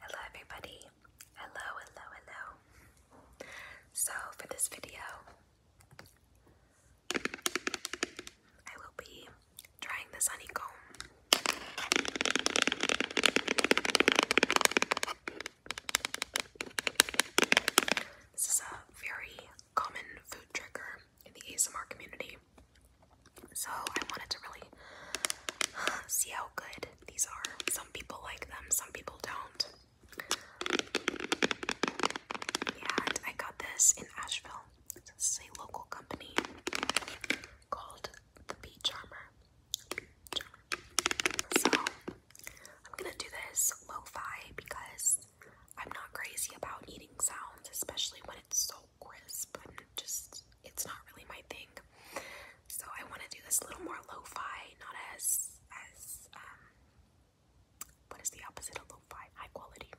Hello everybody. Hello, hello, hello. So for this video, I will be trying this honeycomb. This is a very common food trigger in the ASMR community. So I wanted to really see how good these are. Some people like them, some people don't. And I got this in Asheville. This is a local company called The Bee Charmer. So I'm gonna do this lo-fi because I'm not crazy about eating sounds, especially when it's so crisp and just it's not really my thing. So I want to do this a little more lo-fi, not as as um what is the opposite of lo-fi? High quality.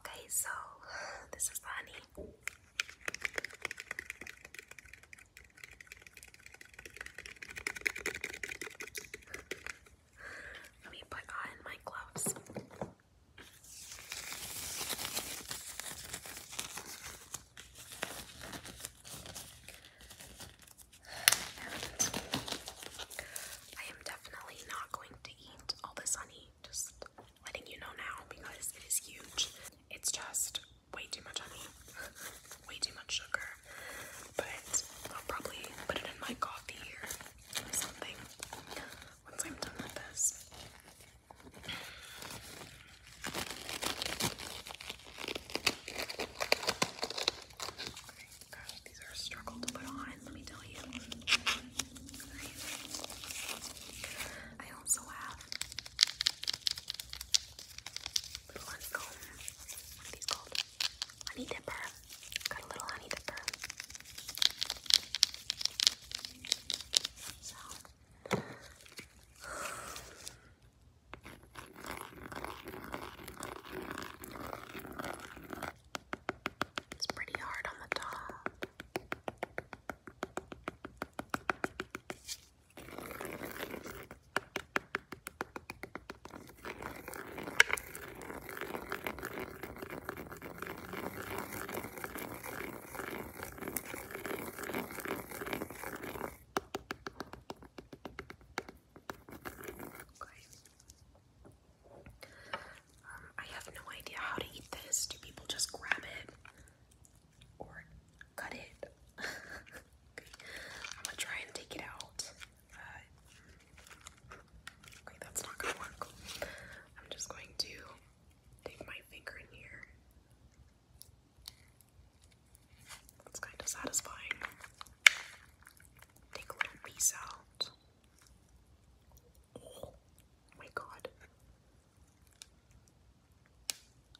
Okay, so this is funny. Let me put on my gloves. I am definitely not going to eat all this honey, just letting you know now because it is huge. It's just way too much honey, way too much sugar, but I'll probably put it in my coffee or something once I'm done with this. these are a struggle to put on, let me tell you. I also have little honeycomb. What are these called? Honey dipper. Got a little honey dipper. So. It's pretty hard on the top. Um, I have no idea how to eat this. Do people just grab it or cut it? I'm gonna try and take it out okay, that's not gonna work. I'm just going to take my finger in here. That's kind of satisfying. Take a little piece out. Oh my god.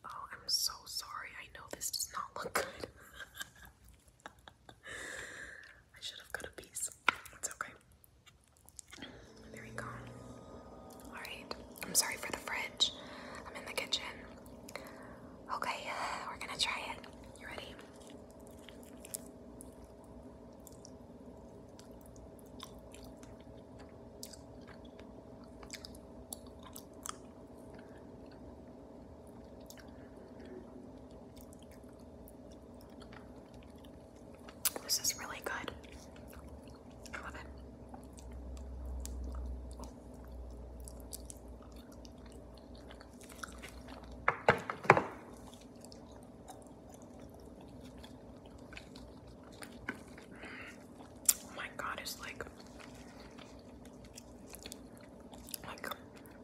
Oh, I'm so sorry. I know this does not look good. I should have cut a piece. It's okay. There we go. Alright. I'm sorry for the fridge. I'm in the kitchen. Okay, uh, we're gonna try it. You ready? This is really good. I love it. Oh my god, it's like like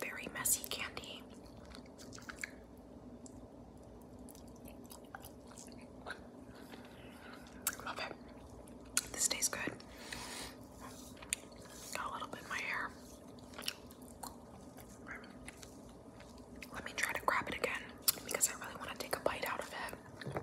very messy candy. Love it. This tastes good. Got a little bit in my hair. Let me try to grab it again because I really want to take a bite out of it.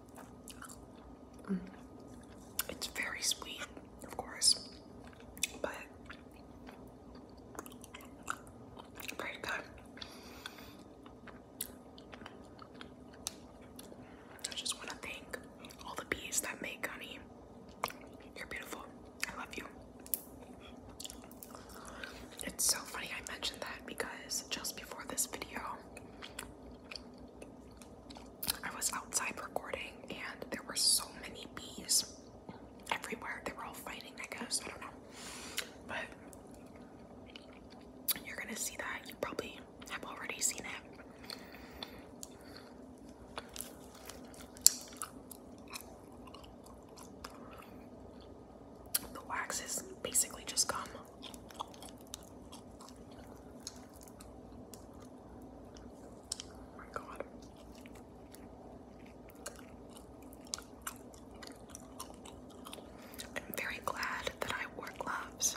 Mm. It's very sweet, of course, but pray to I just want to thank all the bees that make honey. You're beautiful. I love you. It's so funny I mentioned that because just before this video, I was outside recording and there were so many bees everywhere. They were all fighting, I guess. I don't know. But you're gonna see that. You probably have already seen it. The wax is basically just gum. Oh my god. I'm very glad that I wore gloves.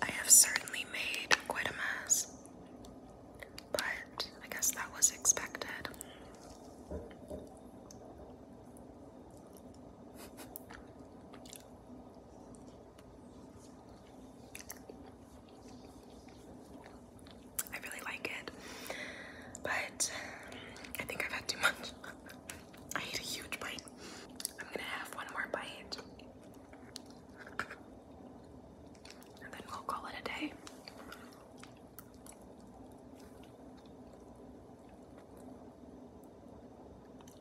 I have certainly made quite a mess, but I guess that was expected. I really like it, but I think I've had too much. I ate a huge bite. I'm gonna have one more bite. And then we'll call it a day.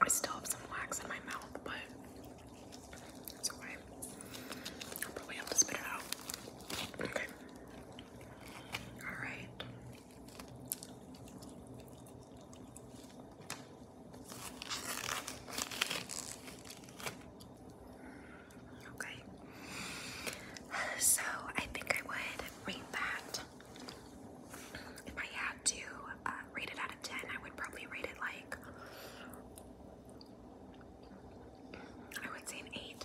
I still have some wax in my mouth, but it's okay. I'll probably have to spit it out. Okay. Alright. Okay. So I think I would rate that. If I had to uh, rate it out of 10, I would probably rate it like. I would say an 8.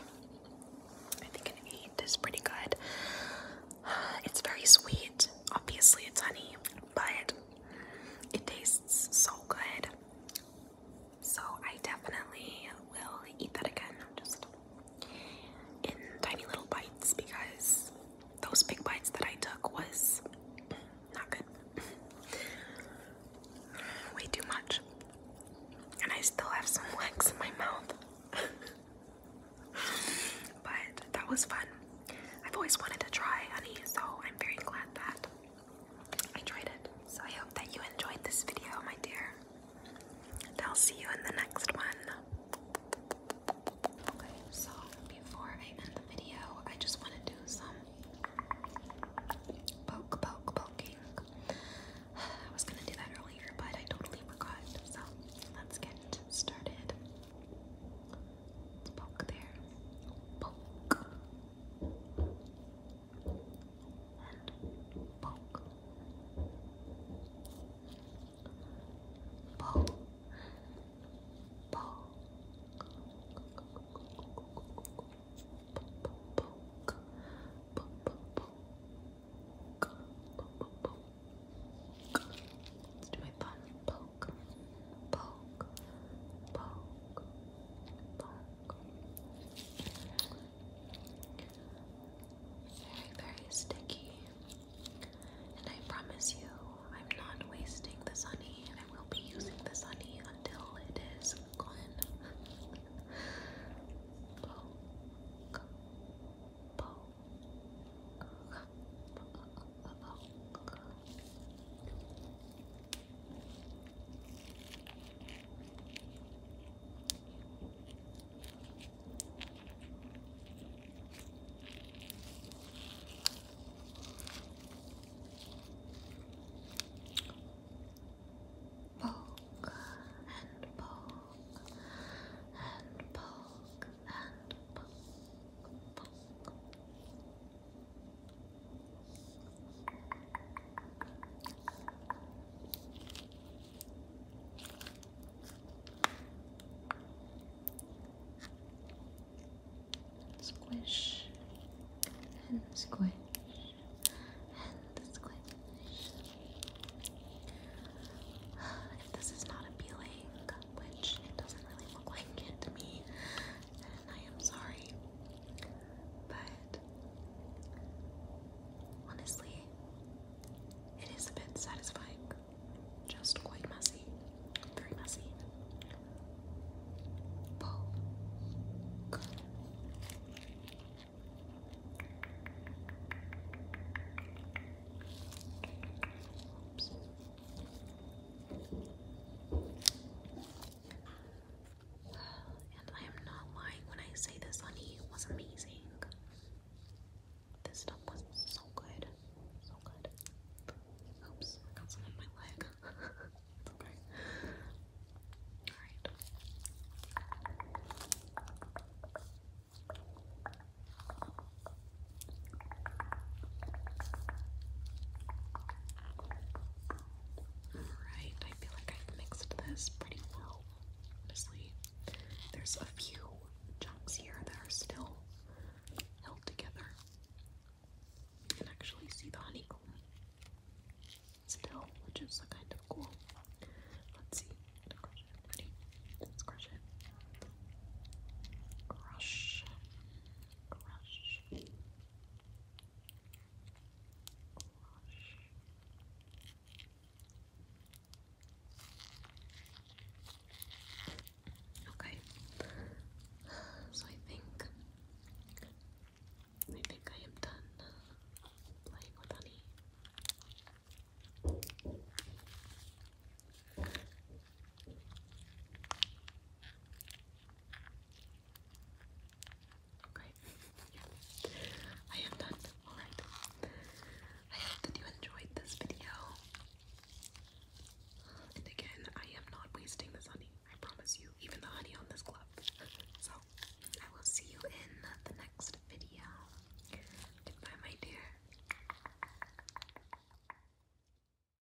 I think an 8 is pretty good. it's very sweet. Obviously, it's honey, but it tastes so good. So I definitely will eat that again, just in tiny little bites because those big bites that I took was not good. Way too much. And I still have some wax in my mouth. but that was fun. I've always wanted to try honey, so I'm very glad that I tried it. So I hope that you enjoyed this video, my dear. I'll see you in the next one. Okay, so before I end the video, I just want to do some poke, poke, poking. I was going to do that earlier, but I totally forgot. So let's get started. poke there. Poke and poke. Poke. Poke. Poke. Let's do my thumb. Poke, poke, poke, poke. Very, very sticky. And I promise you, I'm not wasting this honey, and I will be using this honey until it is gone. Poke and poke and poke and poke, Squish and squish and squish. If this is not appealing, which it doesn't really look like to me, I am sorry. But honestly, it is a bit satisfying. Just quite messy. Very messy. And I am not lying when I say this, honey. It was amazing. This stuff was so good. So good. Oops, got some in my leg. okay. Alright. Alright, I feel like i mixed this pretty well, honestly. There's a few chunks here that are still held together. You can actually see the honeycomb still, which is kind of cool. Let's see. Crush it. crush it. Crush. Crush. Wash. Okay. So I think I think I am done playing with honey. Okay. yeah. I am done. I hope that you enjoyed this video. And again, I am not wasting this honey. I promise you. Even the honey on this glove. so, I will see you in the next video. Goodbye, my dear.